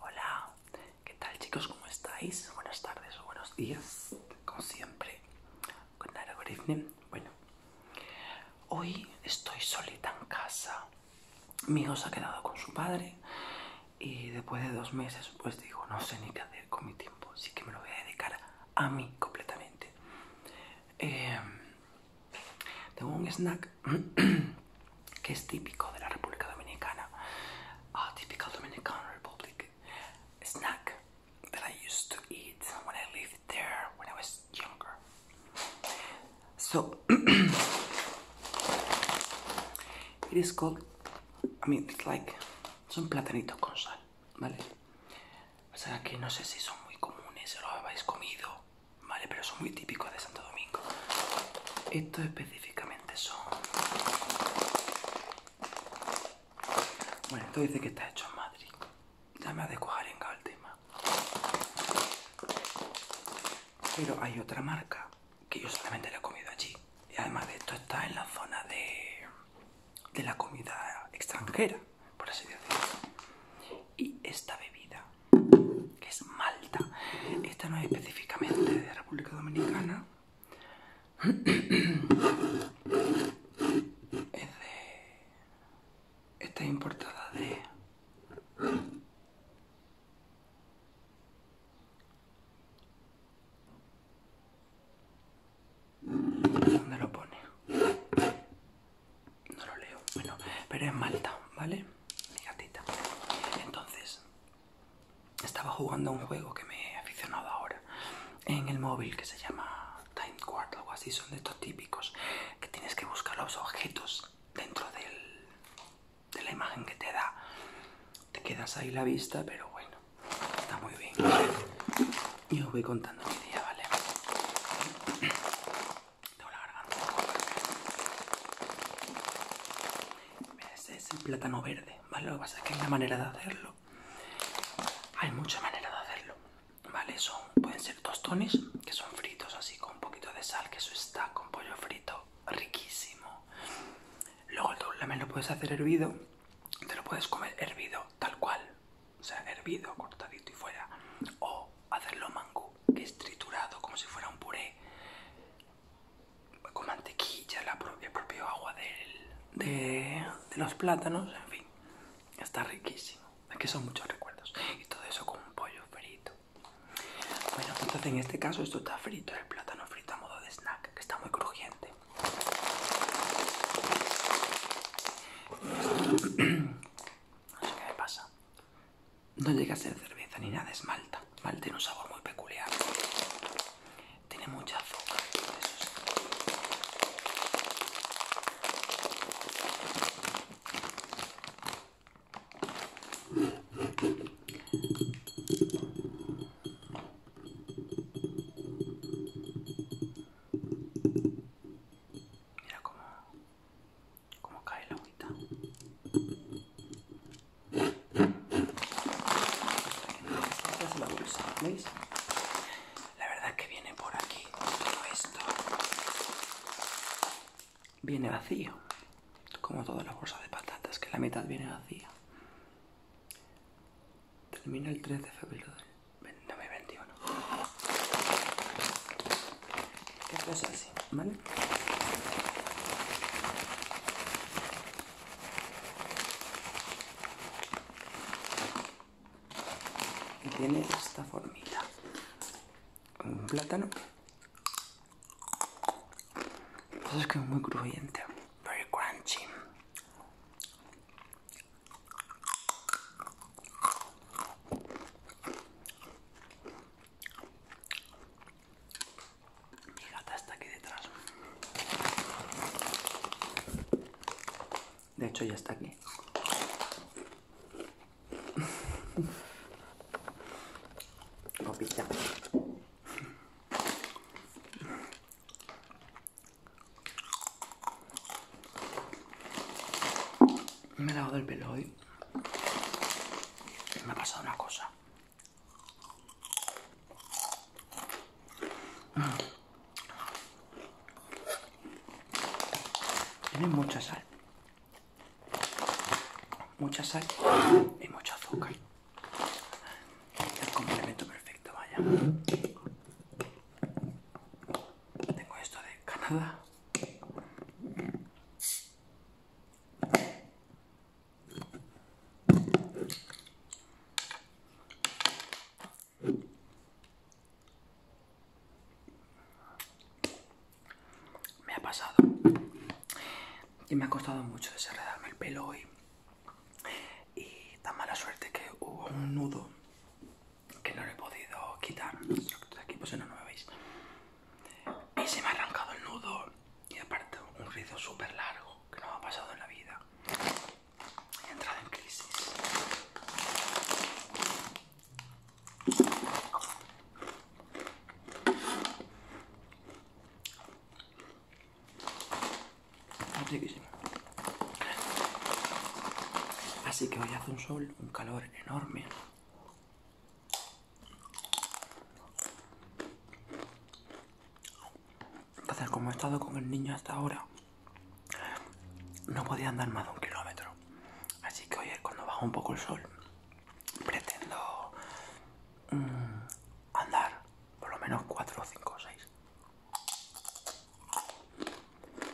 Hola, ¿qué tal chicos? ¿Cómo estáis? Buenas tardes o buenos días, como siempre. Con Bueno, hoy estoy solita en casa. Mi hijo se ha quedado con su padre y después de dos meses, pues digo, no sé ni qué hacer con mi tiempo, así que me lo voy a dedicar a mí completamente. Em, tengo un snack que es típico de la República Dominicana. A ah, typical Dominican Republic snack that I used to eat when I lived there when I was younger. So it is called, I mean, it's like, son platanitos con sal, ¿vale? O sea, que no sé si son muy comunes, o lo habéis comido. ¿vale? Pero son muy típicos de Santo Domingo. Estos específicamente son... Bueno, esto dice que está hecho en Madrid. Ya me ha en el tema. Pero hay otra marca que yo solamente la he comido allí. Y además de esto está en la zona de, de la comida extranjera, por así decirlo. Y esta bebida es Malta. Esta no es específicamente de República Dominicana. es de... Esta importada de... ¿Dónde lo pone? No lo leo. Bueno, pero es Malta, ¿vale? Mi gatita. Entonces, estaba jugando a un juego que me he aficionado ahora en el móvil que se llama Time Quart, algo así. Son de estos típicos que tienes que buscar los objetos dentro de la imagen que te da. Te quedas ahí la vista, pero bueno, está muy bien. Y os voy contando mi día, ¿vale? Ese es el plátano verde, ¿vale? Lo que pasa es que hay una manera de hacerlo. Hay muchas maneras de hacerlo, ¿vale? pueden ser tostones, que son fritos así con un poquito de sal, que eso está con pollo frito, riquísimo. Luego tú también lo puedes hacer hervido, te lo puedes comer hervido tal cual, o sea, hervido, cortadito y fuera. O hacerlo mango, que es triturado como si fuera un puré, con mantequilla, la propia, el propio agua de, los plátanos, en fin, está riquísimo. que son muchos recuerdos. Y todo eso con un pollo frito. Bueno, entonces en este caso esto está frito, el plátano frito a modo de snack, que está muy crujiente. No sé qué me pasa. No llega a ser cerveza ni nada, es malta. Malta tiene un sabor muy peculiar. Tiene mucha azúcar. Mira cómo como cae la agüita. es la bolsa, La verdad que viene por aquí todo esto. Viene vacío, como toda la bolsa de patatas, que la mitad viene vacía. Termina el 3 de febrero 2021. ¿qué pasa así, ¿vale? Y tiene esta formita. Un plátano. Pues es que es muy crujiente. Very crunchy. Mi gata está aquí detrás. De hecho ya está aquí. Copita. Me he lavado el pelo hoy me ha pasado una cosa. Tiene mucha sal. Mucha sal y mucho azúcar. El complemento perfecto, vaya. Tengo esto de Canadá. Me ha pasado y me ha costado mucho desenredarme el pelo hoy. Y tan mala suerte que hubo un nudo que no lo he podido quitar aquí pues no, no me veis y se me ha arrancado el nudo y aparte un rizo súper largo que no me ha pasado en la vida he entrado en crisis Así que hoy hace un sol, un calor enorme. Entonces, como he estado con el niño hasta ahora, no podía andar más de un kilómetro. Así que hoy, cuando baja un poco el sol, pretendo mm, andar por lo menos 4, 5 o 6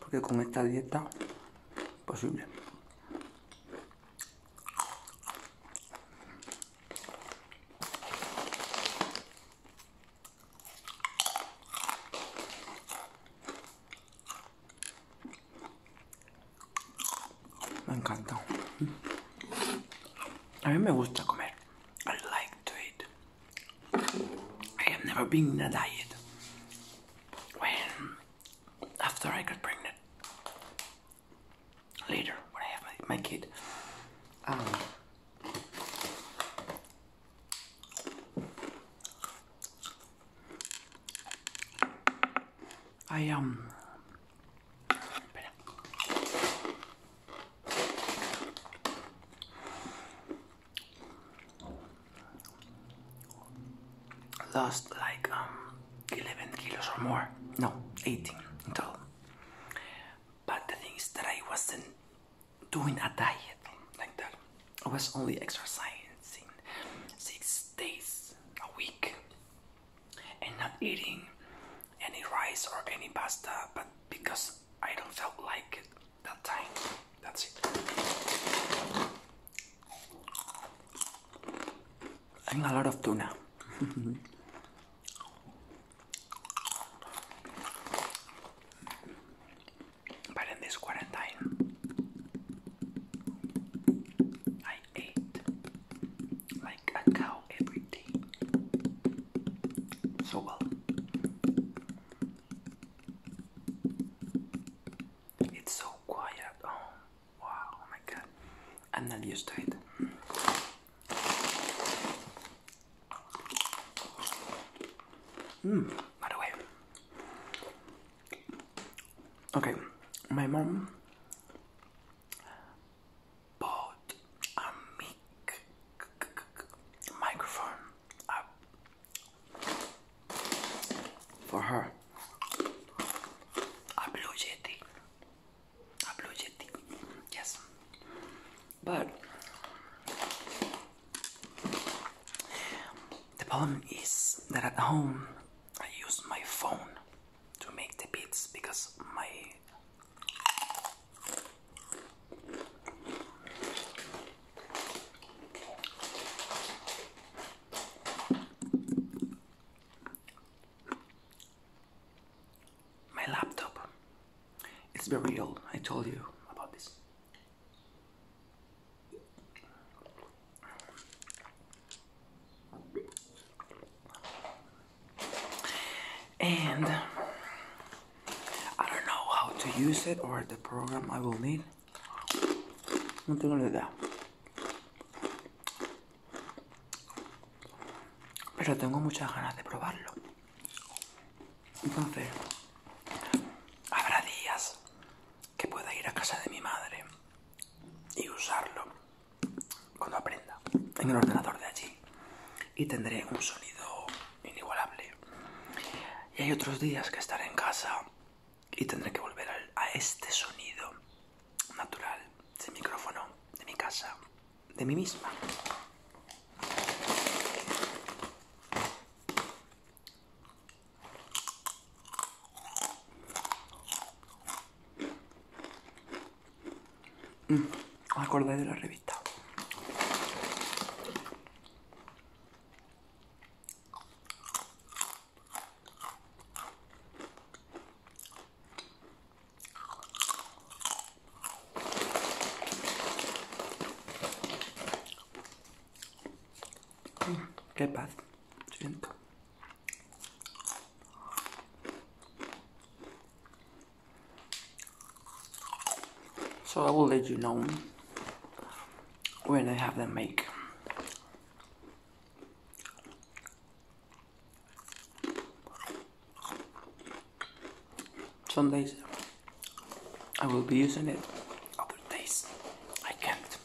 porque con esta dieta posible me encanta a mí me gusta comer I like to eat I have never been in a diet Bueno. after I got pregnant, later when I have my, my kid, um, I um lost like um, 11 kilos or more no 18 total but the thing is that I wasn't doing a diet like that I was only exercising six days a week and not eating any rice or any pasta but because I don't felt like it that time that's it I'm a lot of tuna. but in this quarantine, I ate like a cow every day. So well. It's so quiet. Oh, wow. Oh my god. I'm not used to it. Mm, by the way. Okay, my mom bought a mic microphone, for her. A blue jetty. A blue jetty. Yes. But the problem is that at home I use my phone to make the beats because my my laptop. It's very old. I told you about this. And I don't know how to use it or the program I will need. No tengo ni idea. Pero tengo muchas ganas de probarlo. Entonces, habrá días que pueda ir a casa de mi madre y usarlo cuando aprenda en el ordenador de allí. Y tendré un sonido inigualable. Y hay otros días que estaré en casa y tendré que volver a este sonido natural de micrófono de mi casa, de mí misma. Mm, acordé de la revista. Okay, bath So I will let you know when I have them make. Some days I will be using it, other days I can't.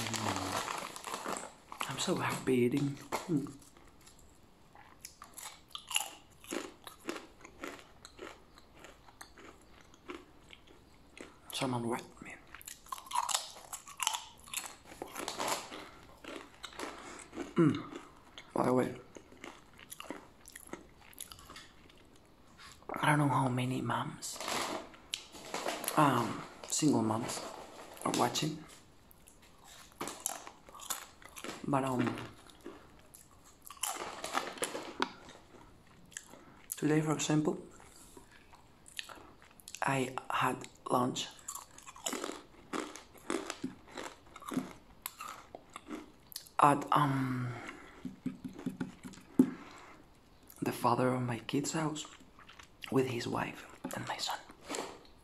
I'm so happy eating. Mm. Someone wet me. Hmm. By the way, I don't know how many mums um, single moms are watching. But um, today, for example, I had lunch at um the father of my kid's house with his wife and my son,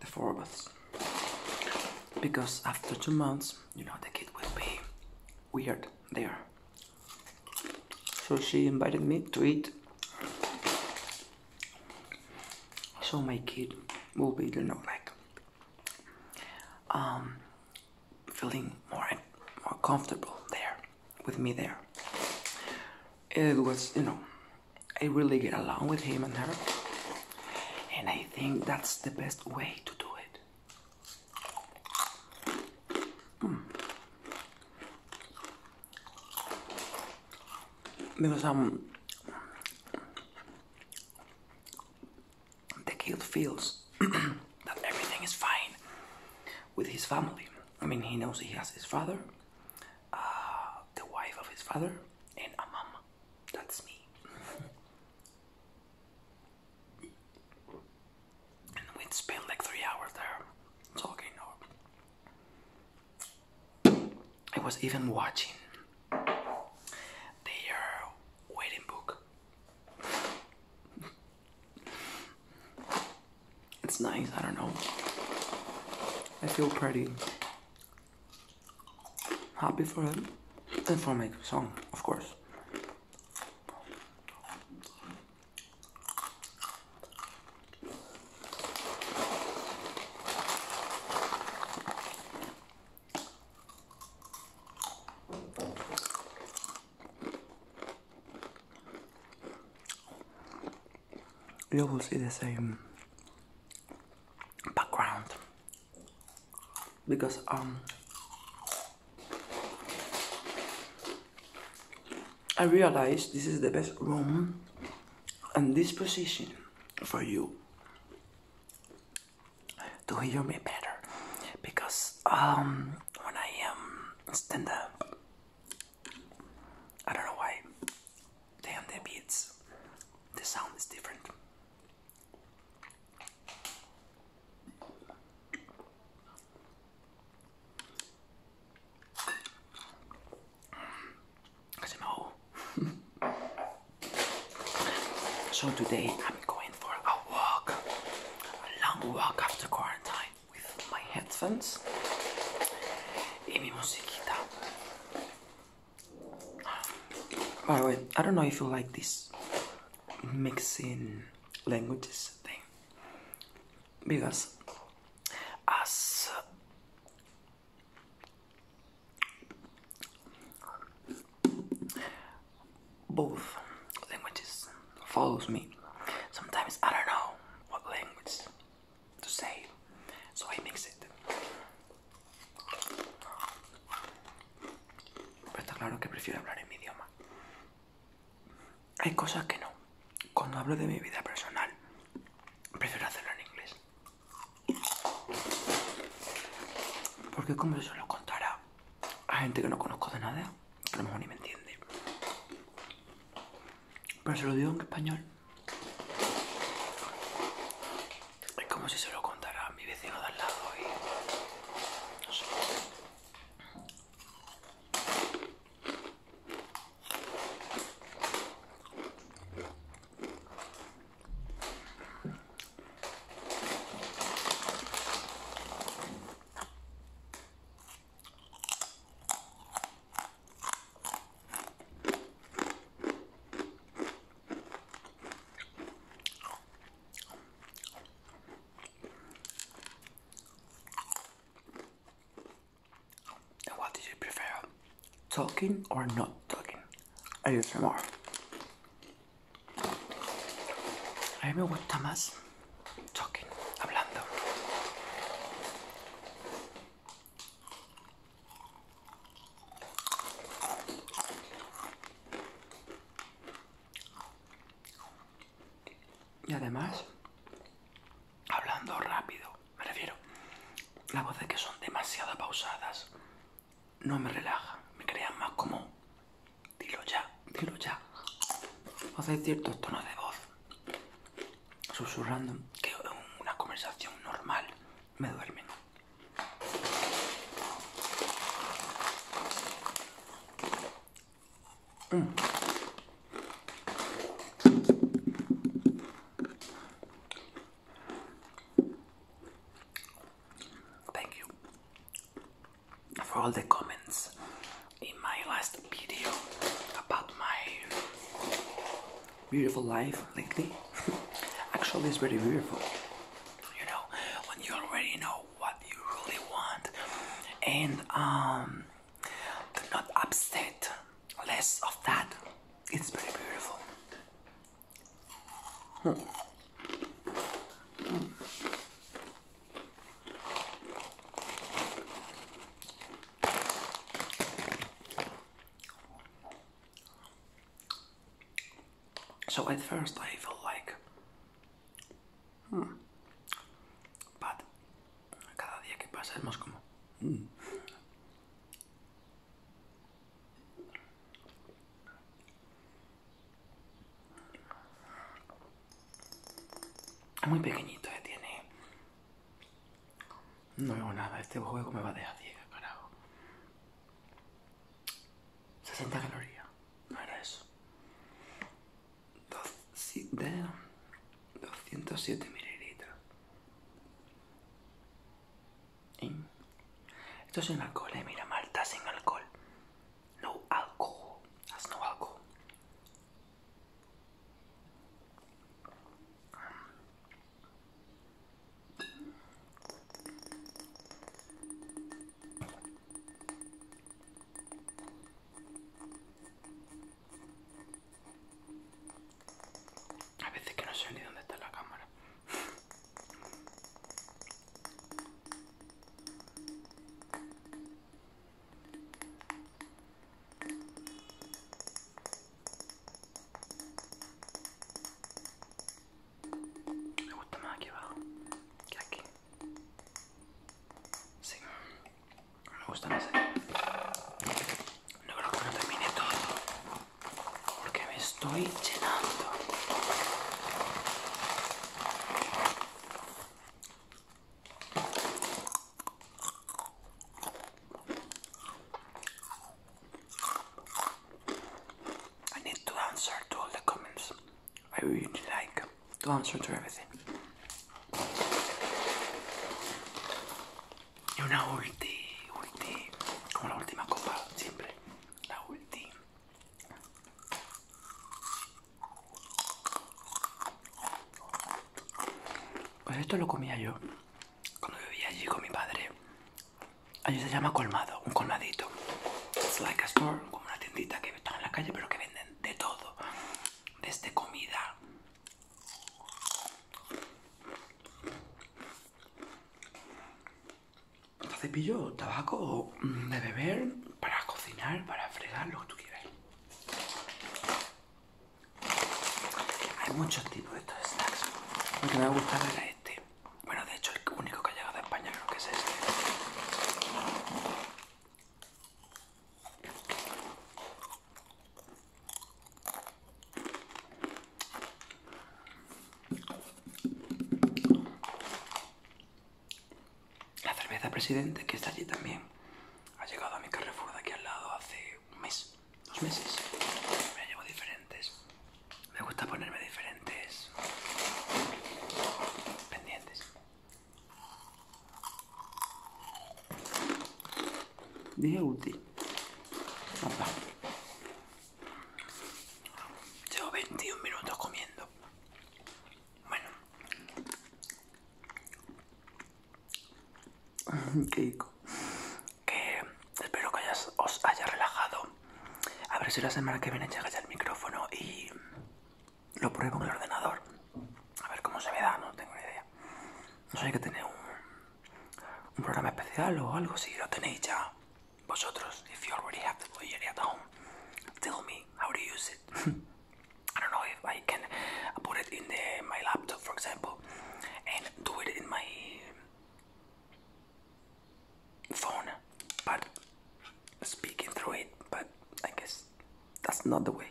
the four of us. Because after two months, you know, the kid will be weird there. So she invited me to eat. So my kid will be, you know, like um, feeling more and more comfortable there with me there. It was, you know, I really get along with him and her, and I think that's the best way to do it. Because hmm. um, the kid feels that everything is fine with his family. I mean, he knows he has his father, uh, the wife of his father, and a mom. That's me. and we'd spend like three hours there talking. I was even watching their wedding book. It's nice, I don't know. I feel pretty happy for him and for my song, of course. You will see the same background because um I realized this is the best room and this position for you to hear me better because um when I am stand up I don't know why. Damn the beats. The sound is different. you know. so today I'm going for a walk. long walk after quarantine with my headphones e mi musiquita. By the way, I don't know if you like this mixing languages thing because as both languages follows me sometimes I don't know what language to save, so I mix it. Pero está claro que prefiero hablar en mi idioma. Hay cosas que no. Cuando hablo de mi vida personal, prefiero hacerlo en inglés. Porque como se lo contará a gente que no conozco de nada, que a lo mejor ni me entiende. Pero se lo digo en español es como si se lo contara a mi vecino de al lado y... No sé. What did you prefer? Talking or not talking? ASMR. A mí me gusta más talking, hablando. Y además, hablando rápido, me refiero, las voces que son demasiado pausadas no me relajan, me crean más como, dilo ya, dilo ya. O sea, ciertos tonos de voz susurrando que una conversación normal me duerme. Mm. Thank you for all the comments in my last video about my beautiful life lately. Actually, it's very beautiful. You know, when you already know what you really want, and um, not upset less of that. It's very beautiful. So at first I felt like, hmm, But cada día que pasa es más como, hmm. muy pequeñito, ya eh, tiene no veo nada, este juego me va a dejar ciega, carajo. 60 calorías, no era eso. 207 mililitros. esto es un alcohol, eh, mira, Marta, sin alcohol. No alcohol, that's no alcohol. A veces que no sé ni dónde está la cámara. Me gusta más aquí abajo que aquí. Sí, me gusta más No creo que no termine todo porque me estoy llenando. I need to answer to all the comments. I really like to answer to everything. Y una ulti, ulti, como la última copa, siempre. La ulti. Pues esto lo comía yo cuando vivía allí con mi padre. Allí se llama colmado, un colmadito. Es like a store, como una tiendita que están en la calle, pero que venden de todo. Desde este comida. Cepillo, tabaco, mm, de beber, para cocinar, para fregar, lo que tú quieras. Hay muchos tipos de estos snacks. Lo que me ha gustado era este. Bueno, de hecho, el único que ha llegado de España creo que es este. La cerveza Presidente, que está allí también, ha llegado a mi Carrefour de aquí al lado hace un mes, dos meses. Me llevo diferentes. Me gusta ponerme diferentes pendientes. Dije útil. Llevo 21 minutos comiendo. Bueno. Que espero que os haya relajado. A ver si la semana que viene ya ya el micrófono y lo pruebo en el ordenador. A ver cómo se me da, no tengo ni idea. No sé que tener un, programa especial o algo, si lo tenéis ya vosotros. If you already have the home, tell me how to use it. I don't know if I can put it in the my laptop, for example, and do it in my phone, but speaking through it. But I guess that's not the way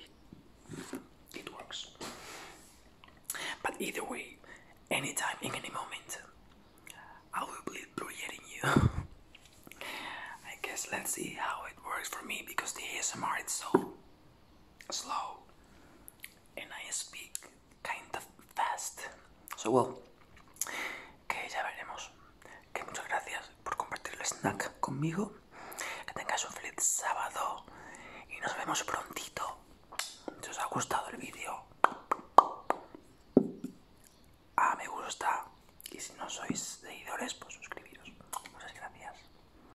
it works. But either way, anytime, in any moment, I will be projecting you. I guess let's see how it works for me because the ASMR is so slow and I speak kind of fast. So well, que ya veremos. Que muchas gracias por compartir el snack conmigo. Que tengáis un feliz sábado y nos vemos prontito. Si os ha gustado el vídeo, a me gusta. Y si no sois seguidores, pues suscribiros. Muchas gracias.